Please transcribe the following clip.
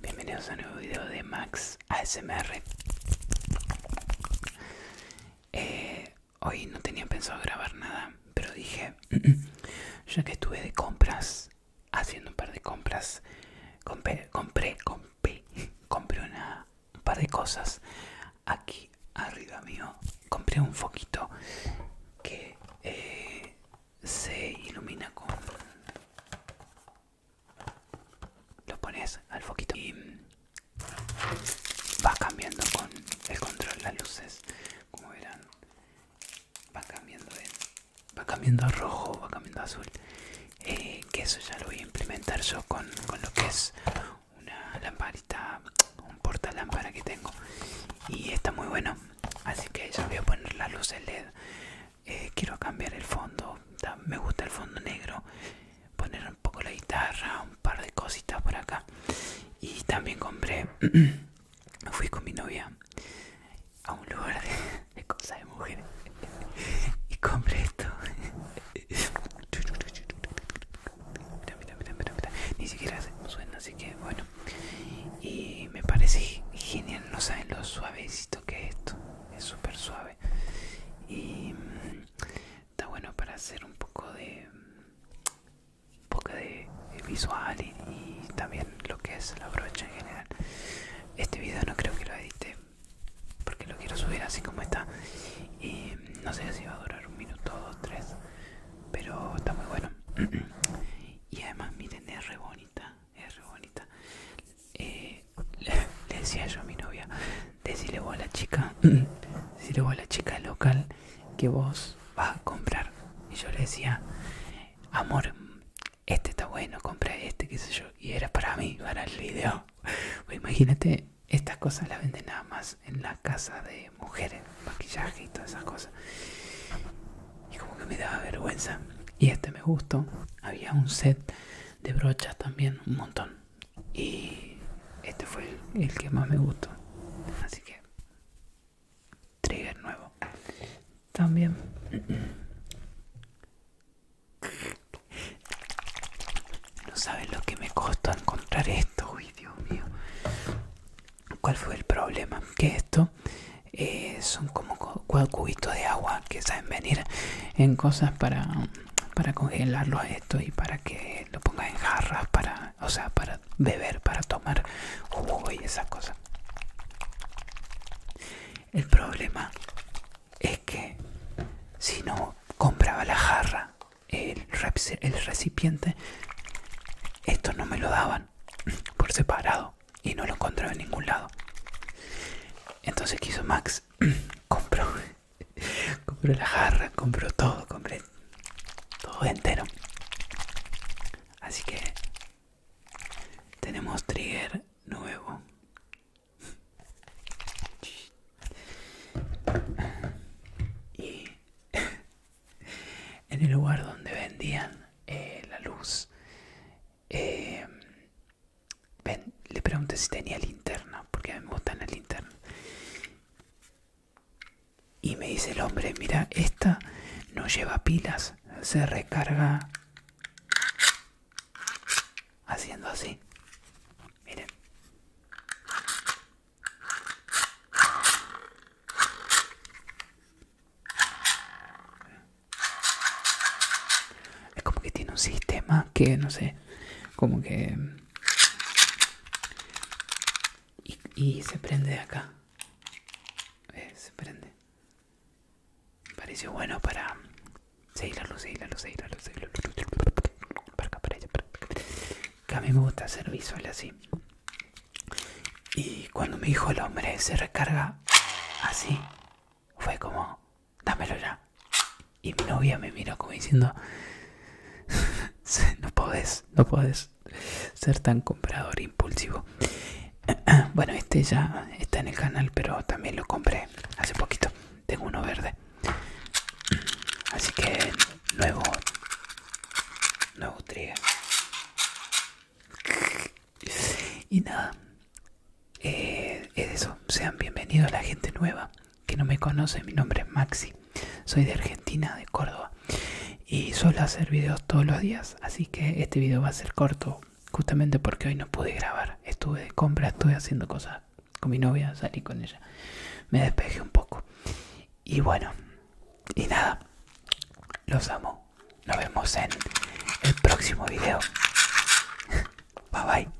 Bienvenidos a un nuevo video de Max ASMR. Eh, hoy no tenía pensado grabar nada, pero dije, ya que estuve de compras, haciendo un par de compras, compré, compré, compré, compré un par de cosas aquí arriba mío compré un foquito que eh, se ilumina con lo pones al foquito y va cambiando con el control las luces como verán va cambiando va cambiando a rojo va cambiando a azul eh, que eso ya lo voy a implementar yo con, con lo que es una lamparita, un lámpara que tengo y está muy bueno. Así que yo voy a poner la luz en LED. Eh, quiero cambiar el fondo, me gusta el fondo negro. Poner un poco la guitarra, un par de cositas por acá. Y también compré, fui con mi novia a un lugar de, de cosas de mujeres y compré esto Mira, Ni siquiera suena, así que bueno. Y me parece genial, no saben lo suavecito que es esto. Es súper suave. Y mm, está bueno para hacer un poco de... Un poco de visual y, y también lo que es la brocha en general. Este video no creo que lo edite porque lo quiero subir así como está no sé si va a durar un minuto dos tres pero está muy bueno y además miren es re bonita es re bonita eh, le decía yo a mi novia decirle vos a la chica decirle vos a la chica local que vos vas a comprar y yo le decía amor este está bueno compré este qué sé yo y era para mí para el video Pues imagínate, estas cosas las venden nada más en la casa de mujeres, maquillaje y todas esas cosas. Y como que me daba vergüenza. Y este me gustó. Había un set de brochas también, un montón. Y este fue el que más me gustó. Así que, trigger nuevo. También no sabes lo que me costó encontrar esto, uy, Dios mío. ¿Cuál fue el problema? Que esto eh, son como cubitos de agua que saben venir en cosas para, para congelarlos esto y para que lo pongas en jarras, para, o sea, para beber, para tomar jugo y esas cosas. El problema es que si no compraba la jarra, el, recipiente, esto no me lo daban por separado y no lo encontraba en ningún lado. Entonces quiso Max, compró, compró la jarra, compró todo, compré todo entero. Así que tenemos trigger nuevo. Y en el lugar donde vendían eh, la luz, eh, le pregunté si tenía linterna, porque me gustan la linterna Y me dice el hombre, mira, esta no lleva pilas se recarga haciendo así miren es como que tiene un sistema que no sé como que y, se prende acá. Eh, se prende. Pareció bueno para... Seguir la luz, seguir la luz, seguir la luz, Para acá, para allá, para acá. a mí me gusta hacer visual así. Y cuando me dijo el hombre se recarga así, fue como, dámelo ya. Y mi novia me miró como diciendo, no podés, no podés ser tan comprador impulsivo. Bueno, este ya está en el canal, pero también lo compré hace poquito. Tengo uno verde. Así que nuevo. Nuevo trigger. Y nada. Eh, es eso. Sean bienvenidos a la gente nueva que no me conoce. Mi nombre es Maxi. Soy de Argentina, de Córdoba. Y suelo hacer videos todos los días, así que este video va a ser corto, justamente porque hoy no pude grabar. Estuve de compra, estuve haciendo cosas con mi novia, salí con ella. Me despejé un poco. Y bueno, y nada, los amo. Nos vemos en el próximo video. Bye bye.